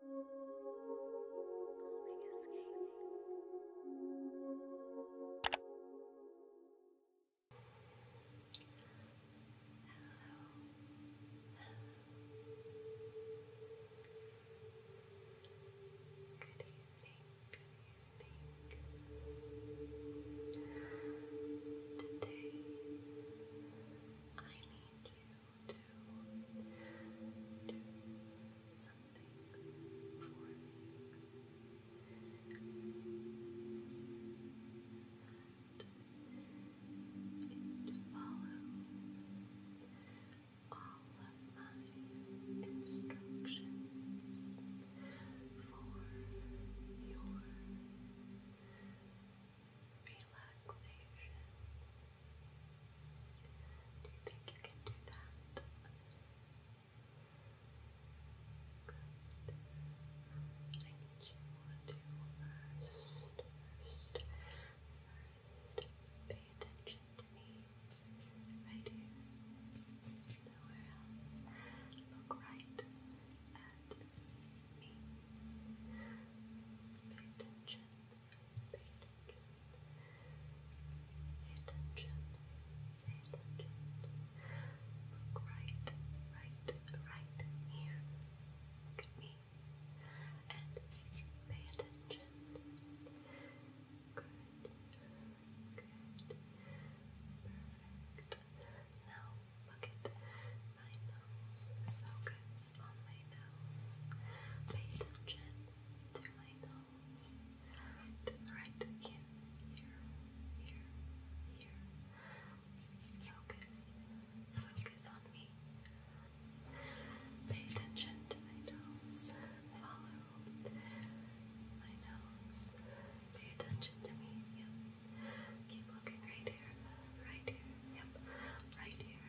Hello. Good evening. Good evening. Today I need you to do something for me. That is to follow all of my instructions for your. Relaxation relaxation. Do you think you can do that? I need you to first, first, first pay attention to me right here. Nowhere else. Look right at me. Pay attention. Pay attention. Pay attention. Look right, right, right here. Look at me. And pay attention. Good. Good. Perfect. Now look at my nose. Focus on my nose. Pay attention to my nose, to right here, here, here. Focus, focus on me. Pay attention to my nose. Follow my nose. Pay attention to me. Keep looking right here, right here. Yep. Right here,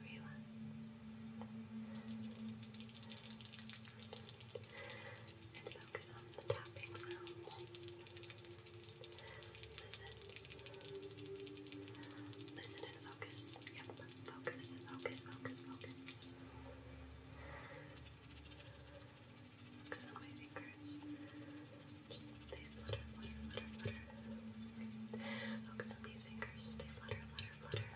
relaxed, and focus on the tapping sounds. Listen, listen and focus. Yep, focus, focus, focus, focus. Focus on my fingers. Just they flutter, flutter, flutter, flutter. Focus on these fingers. They flutter, flutter, flutter.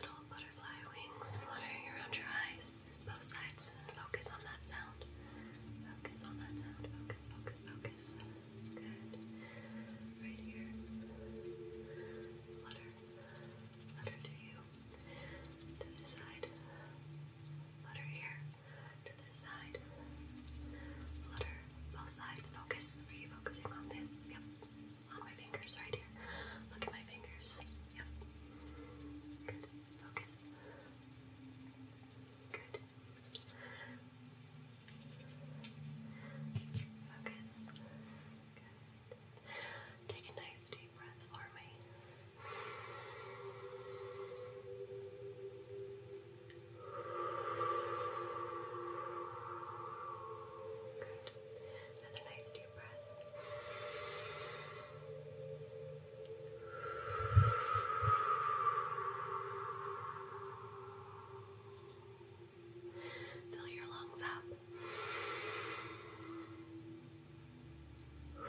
Little butterfly wings fluttering around your eyes, both sides, focus on that sound. Focus on that sound. Focus, focus, focus. Good. Right here. Flutter. Flutter to you. To this side. Flutter here to this side. Flutter both sides. Focus. Are you focusing on this? Yep. On my fingers right here. Look at my fingers. Yep. Good. Focus. Good. Focus. Good. Take a nice deep breath for me. Good. Another nice deep breath. Fill your lungs up. Good.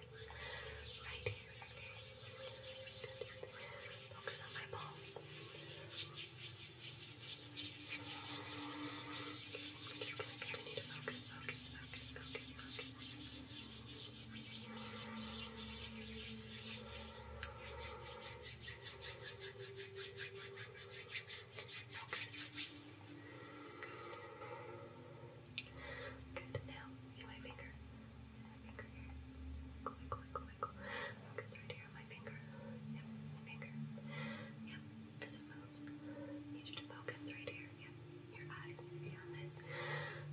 focus right here, Focus on my palms. just going to continue to focus, focus, focus, focus, focus. Good. Now, see my finger my finger here. Winkle, winkle, winkle, winkle. Focus right here my finger. Yep, my finger. Yep, as it moves. need you to focus right here. Yep, your eyes need to be on this.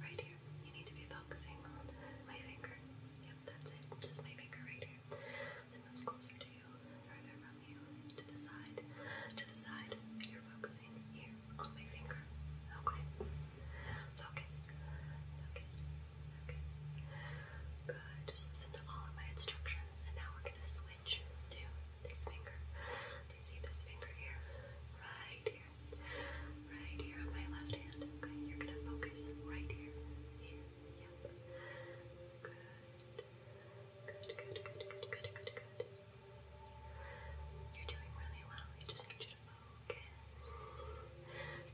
Right here. You need to be focusing on my finger. Yep, that's it. Just my finger right here. it moves closer to you, further from you, to the side, to the side. You're focusing in here on my finger. Okay. Focus. Focus. Focus. Good. Just listen to all of my instructions. And now we're gonna switch to this finger. Do you see this finger here? Right here. Right here on my left hand. Okay, you're gonna focus right here. Here. Yep. Good. Good, good, good, good, good, good, good. You're doing really well. You just need you to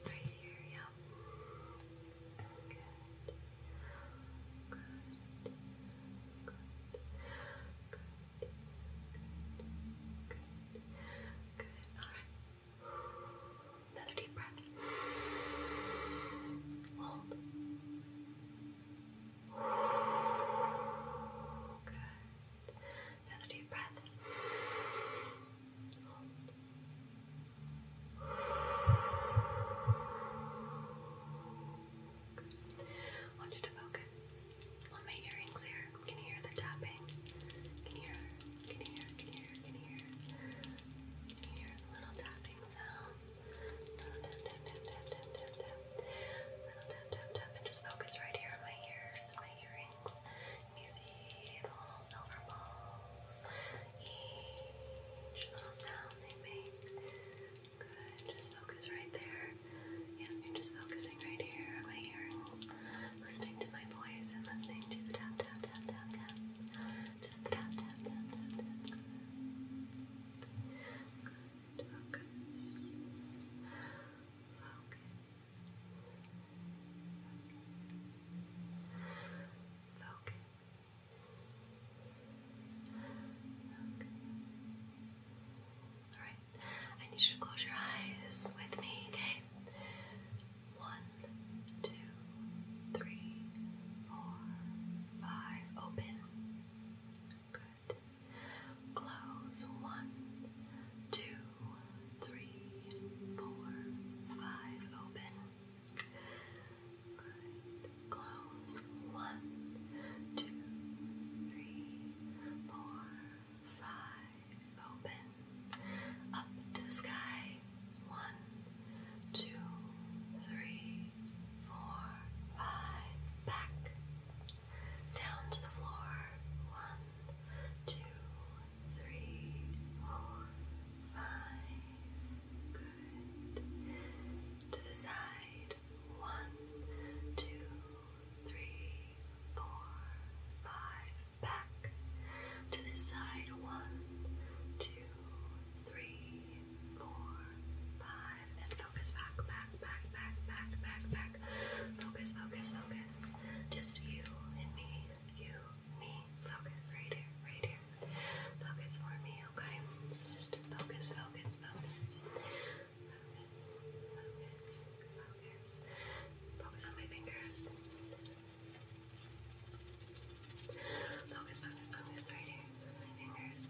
Right here, yeah. Good. Good. Good. Good. Good. Good. Good. Alright. Another deep breath. Hold. Good. Another deep breath. I want you to focus on my earrings here. Can you hear the tapping? Can you hear? Can you hear? Can you hear? Can you hear the little tapping sound? Little tap, tap, tap, tap, tap, tap, tap. Little tap, tap, tap, and just focus right here on my ears and my earrings. You see the little silver balls. Each little sound they make. Good. Just focus right there. Yeah, you're just focusing right here on my earrings. Listening to my voice and listening to the tap, tap, tap, tap, tap. To the tap, tap, tap, tap, tap. Good. Good. Focus. Focus. Focus. All right. I need you to close your eyes with me, okay? One, two, three, four, five. Open. Good. Close. One, two, three, four, five. Open. Good. Close. One, two, three, four, five. Open. Up to the sky. One, two, three, four, five. Back. Down to the floor. One, two, three, four, five. Good. To the side. One, two, three, four, five. Back. To the side. One, two, three, four, five. And focus back, back, back, back, back, back, Focus, focus, focus. Just you and me. You, me. Focus right here, right here. Focus for me, okay? Just focus, focus, focus. Focus, focus, focus. Focus on my fingers. Focus, focus, focus right here. My fingers.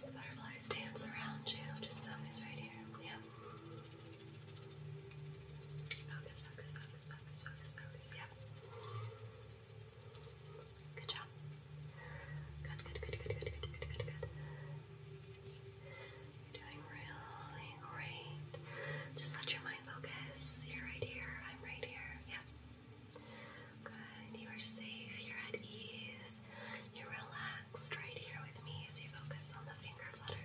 As butterflies dance around you, just focus right here. Yep. Focus, focus, focus, focus, focus, focus, yeah. Good job. Good, good, good, good, good, good, good, good, You're doing really great. Just let your mind focus. You're right here. I'm right here. Yeah. Good. You are safe. You're at ease. You're relaxed right here with me as you focus on the finger flutter.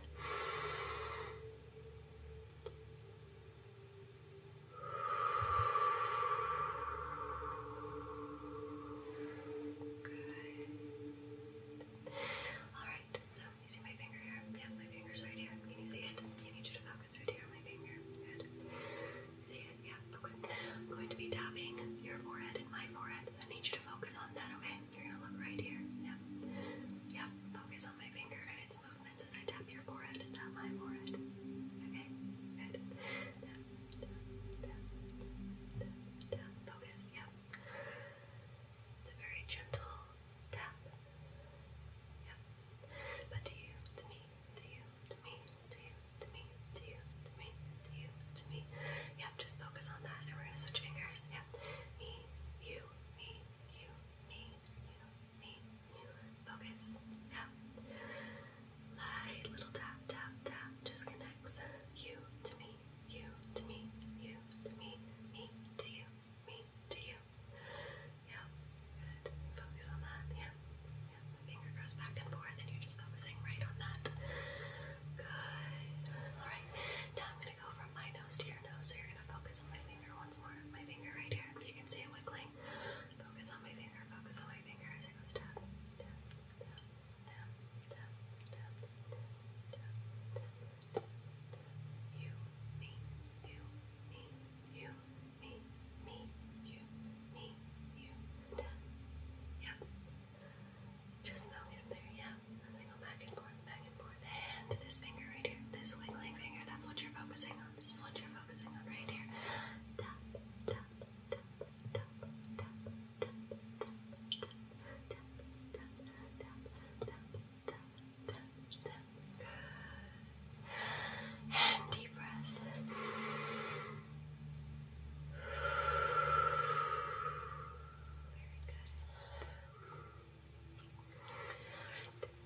Good. Alright, so you see my finger here? Yeah, my finger's right here. Can you see it? I need you to focus right here on my finger. Good. See it? Yeah, okay. I'm going to be tapping your forehead and my forehead. I need you to focus on that, okay? You're gonna look right here. Yep. Yep. Focus on my finger and its movements as I tap your forehead tap my forehead. Okay. Good. Tap, tap, tap, tap, tap. Focus. Yep. It's a very gentle tap. Yep. to you, to me, to you, to me, to you, to me, to you, to me, to you, to me. Yep. Just focus on that, and we're gonna switch fingers. Yep me, you, me, you, me, you, me, you. Focus. Now, light little tap, tap, tap just connects you to me, you to me, you to me, me to you, me to you. Yeah, good. Focus on that. Yeah, yeah. finger goes back and forth, and you're just focusing right on that. Good. All right. Now I'm gonna go from my nose to your nose, so you're gonna focus on my finger once more. My finger right here, you can see it wiggling. Focus on my finger, focus on my finger as it goes tap, tap, tap, tap, tap, tap, tap, tap, tap, You, me, you, me, you, me, me, you, me, you, tap. Yep. Just focus there, yeah up as go back and forth, back and forth. And this finger right here, this wiggling finger, that's what you're focusing on. This is you're focusing on right here. And deep breath. Very good.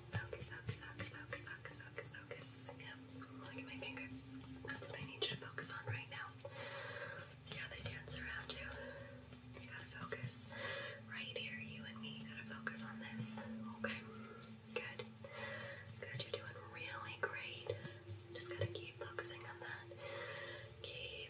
Focus, focus, focus, focus, focus, focus, focus. Yep. Look at my fingers. That's what I need you to focus on right now. See how they dance around you? You gotta focus right here, you and me. gotta focus on this. Okay. Good. Good. You're doing really great. Just gotta keep focusing on that. Keep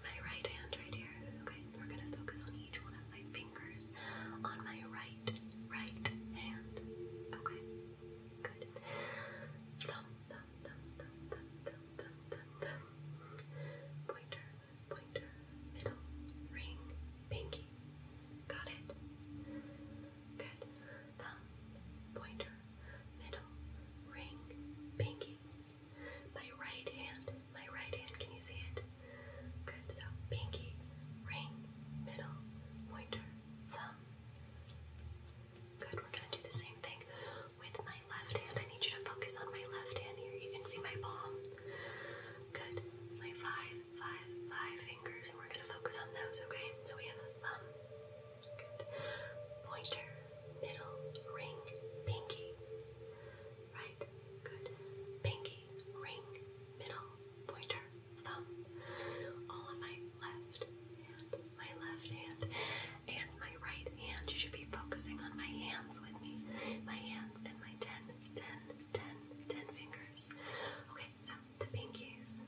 my right hand right here. Okay, we're gonna focus on each one of my fingers on my right, right hand. Okay, good. Thumb, thumb, thumb, thumb, thumb, thumb, thumb, Pointer, pointer, middle, ring, pinky. Got it? Good. Thumb, pointer, middle, ring, pinky. My right hand, my right hand, can you see it? Good, so pinky, ring, middle, pointer, thumb. Good, we're gonna do the same thing with my left hand. I need you to focus on my left hand here. You can see my palm. Good, my five, five, five fingers, we're gonna focus on those, okay? So we have thumb. Good. Pointer, middle, ring, pinky good. Pinky, ring, middle, pointer, thumb. All of my left hand, my left hand, and my right hand. You should be focusing on my hands with me. My hands and my ten, ten, ten, ten fingers. Okay, so the pinkies.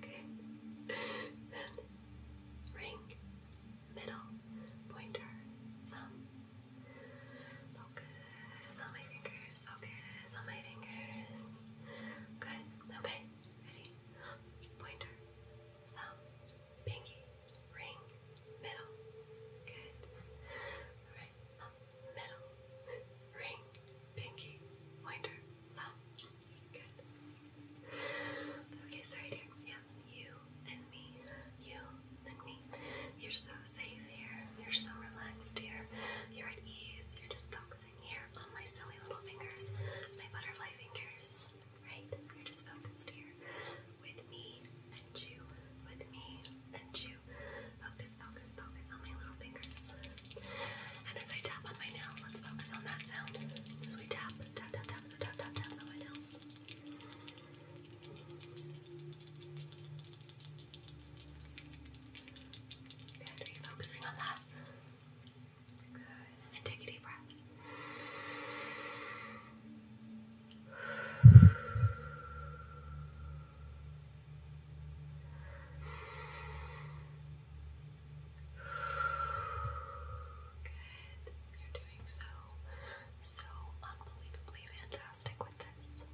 Okay. Ring, middle pointer thumb. Focus on my fingers, focus on my fingers. Good, okay, ready? Pointer, thumb, pinky, ring, middle. Good. Alright, middle, ring, pinky, pointer, thumb. Good. Focus right Yeah, you and me, you and me. You're so safe here. You're so relaxed here. You're at ease. You're just focusing here on my silly little fingers, my butterfly fingers, right? You're just focused here with me and you, with me and you. Focus, focus, focus on my little fingers. And as I tap on my nails, let's focus on that sound. As we tap, tap, tap, tap, tap, tap, tap, on my nails. Good. Are you focusing on that? Good. take a deep breath. Good. You're doing so so unbelievably fantastic with this.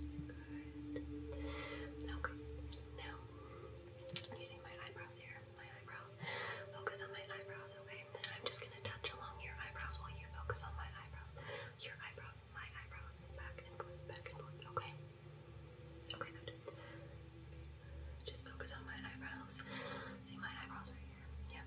Good. Okay, now you my eyebrows here. My eyebrows. Focus on my eyebrows, okay? I'm just gonna touch along your eyebrows while you focus on my eyebrows. Your eyebrows, my eyebrows, back and forth, back and forth, okay? Okay, good. Just focus on my eyebrows. See my eyebrows right here. Yeah.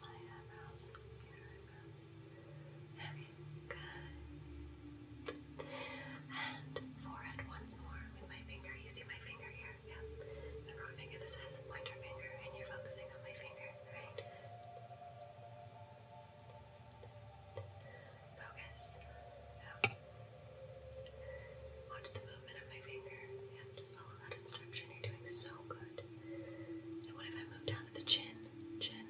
my eyebrows, Okay, good. And forehead once more with my finger. You see my finger here? Yeah. The wrong finger. This is pointer finger, and you're focusing on my finger, right? Focus. Go. Watch the movement of my finger. Yeah, just follow that instruction. You're doing so good. And what if I move down to the chin? Chin,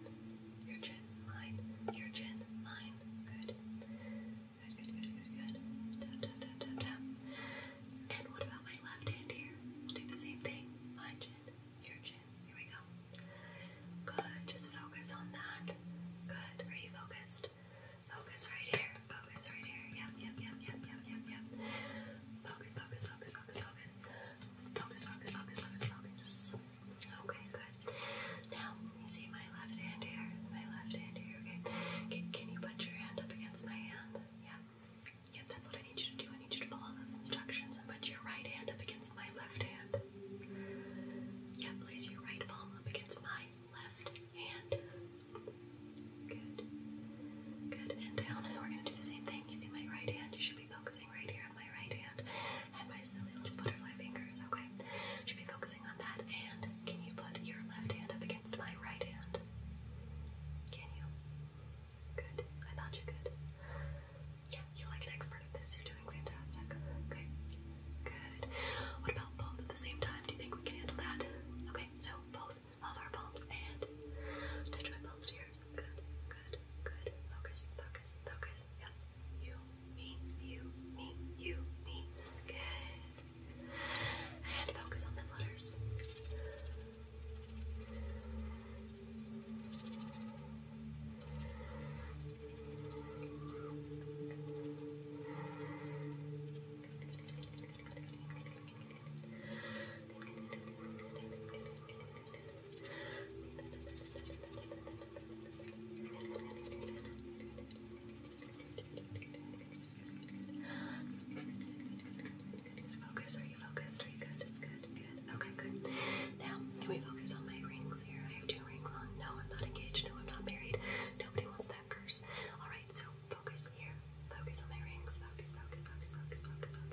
your chin, mine, your chin, mine. Good. Good, good, good, good, good. Tap, tap, tap, And what about my left hand here? Do the same thing. My chin, your chin. Here we go. Good. Just focus on that. Good. Are you focused? Focus right here. Focus right here. Yep, yep, yep, yep, yep, yep, yep. Focus, focus, focus, focus, focus. Focus, focus, focus, focus, focus. Okay, good. Now, you see my left hand here? My left hand here, okay? Can, you put your hand up against my hand? Yeah. Yep, that's what I need you to do. I need you to follow those instructions and put your right hand up against my left hand. Yeah, place your right palm up against my left hand. Good. Good. And down. We're gonna do the same thing focusing. You see my right hand? You should be focusing right here on my right hand and my silly little butterfly fingers, okay? should be focusing on that. And can you put your left hand up against my right hand? Can you? Good. I thought you could. you're like an expert at this. You're doing fantastic. Okay. Good. What about both at the same time? Do you think we can handle that? Okay, so both of our palms and touch my palms to yours. Good, good, good. Focus, focus, focus. Yep. You, me, you, me, you, me. Good. And focus on the letters. Focus, are you focused? Are you good? Good, good. Okay, good. Now, can we focus on my rings here? I have two rings on. No, I'm not engaged. No, I'm not married. Nobody wants that curse. Alright, so focus here. Focus on my rings. Focus, focus, focus, focus, focus,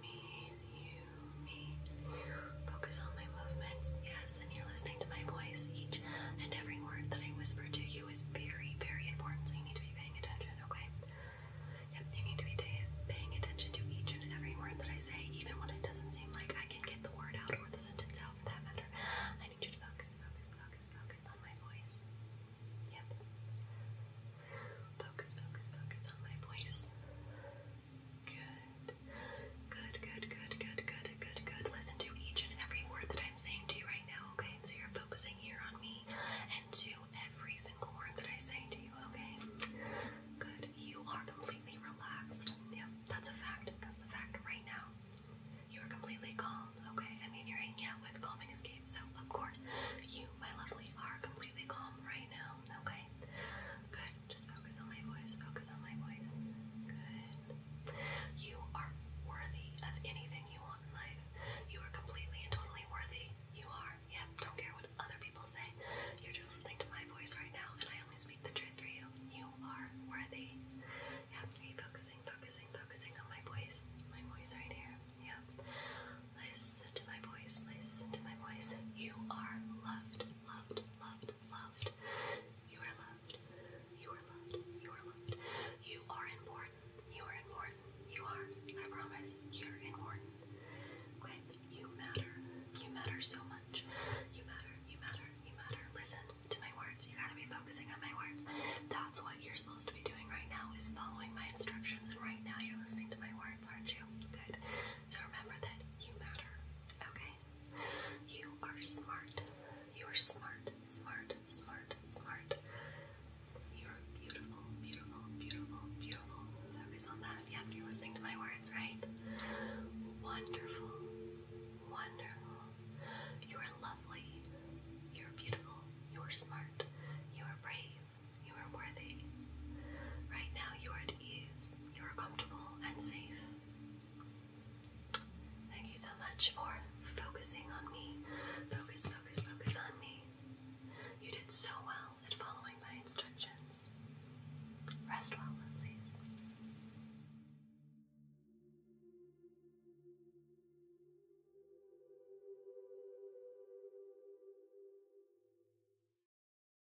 me, you, me. Focus on my movements, yes, and you're listening to my voice. Each and every word that I whisper to you is very, very important, so you need to be paying attention, okay? Yep, you need to be paying attention to each and every word that I say, even when it doesn't seem like I can get the word out or the sentence out for that matter. I need you to focus, focus, focus, focus on my voice. Yep. Focus, focus, focus on my voice. Good. Good, good, good, good, good, good, good. Listen to each and every word that I'm saying to you right now, okay? So you're focusing here on me and to every single word that I say to you, okay? Good. You are completely relaxed. Yeah, that's a fact. That's a fact right now. You are completely calm, okay? I mean, you're hanging out with Calming Escape, so of course, you, my lovely, are completely calm right now okay? Good. Just focus on my voice. Focus on my voice. Good. You are worthy of anything you want in life. You are completely and totally worthy. You are. Yep. Don't care what other people say. You're just listening to my voice right now, and I only speak the truth for you. You are worthy. Yep. Keep focusing, focusing, focusing on my voice. My voice right here. Yep. Listen to my voice. Listen to my voice. You are loved loved, loved, loved. You are loved. You are loved. You are loved. You are important. You are important. You are. I promise. You're important. Okay? You matter. You matter so much. You matter. You matter. You matter. Listen to my words. You gotta be focusing on my words. That's what you're supposed to be doing right now is following my instructions. And right now you're listening to my words, aren't you? Good. So remember that you matter, okay? You are smart. You are smart, smart, smart, smart. You're beautiful, beautiful, beautiful, beautiful. Focus on that. Yeah, you're listening to my words, right? Wonderful, wonderful. You are lovely. You're beautiful. You are smart. You are brave. You are worthy. Right now, you are at ease you are comfortable and safe. Thank you so much for focusing on me. Focus, focus, focus on me. You did so well at following my instructions. Rest well, lovelies.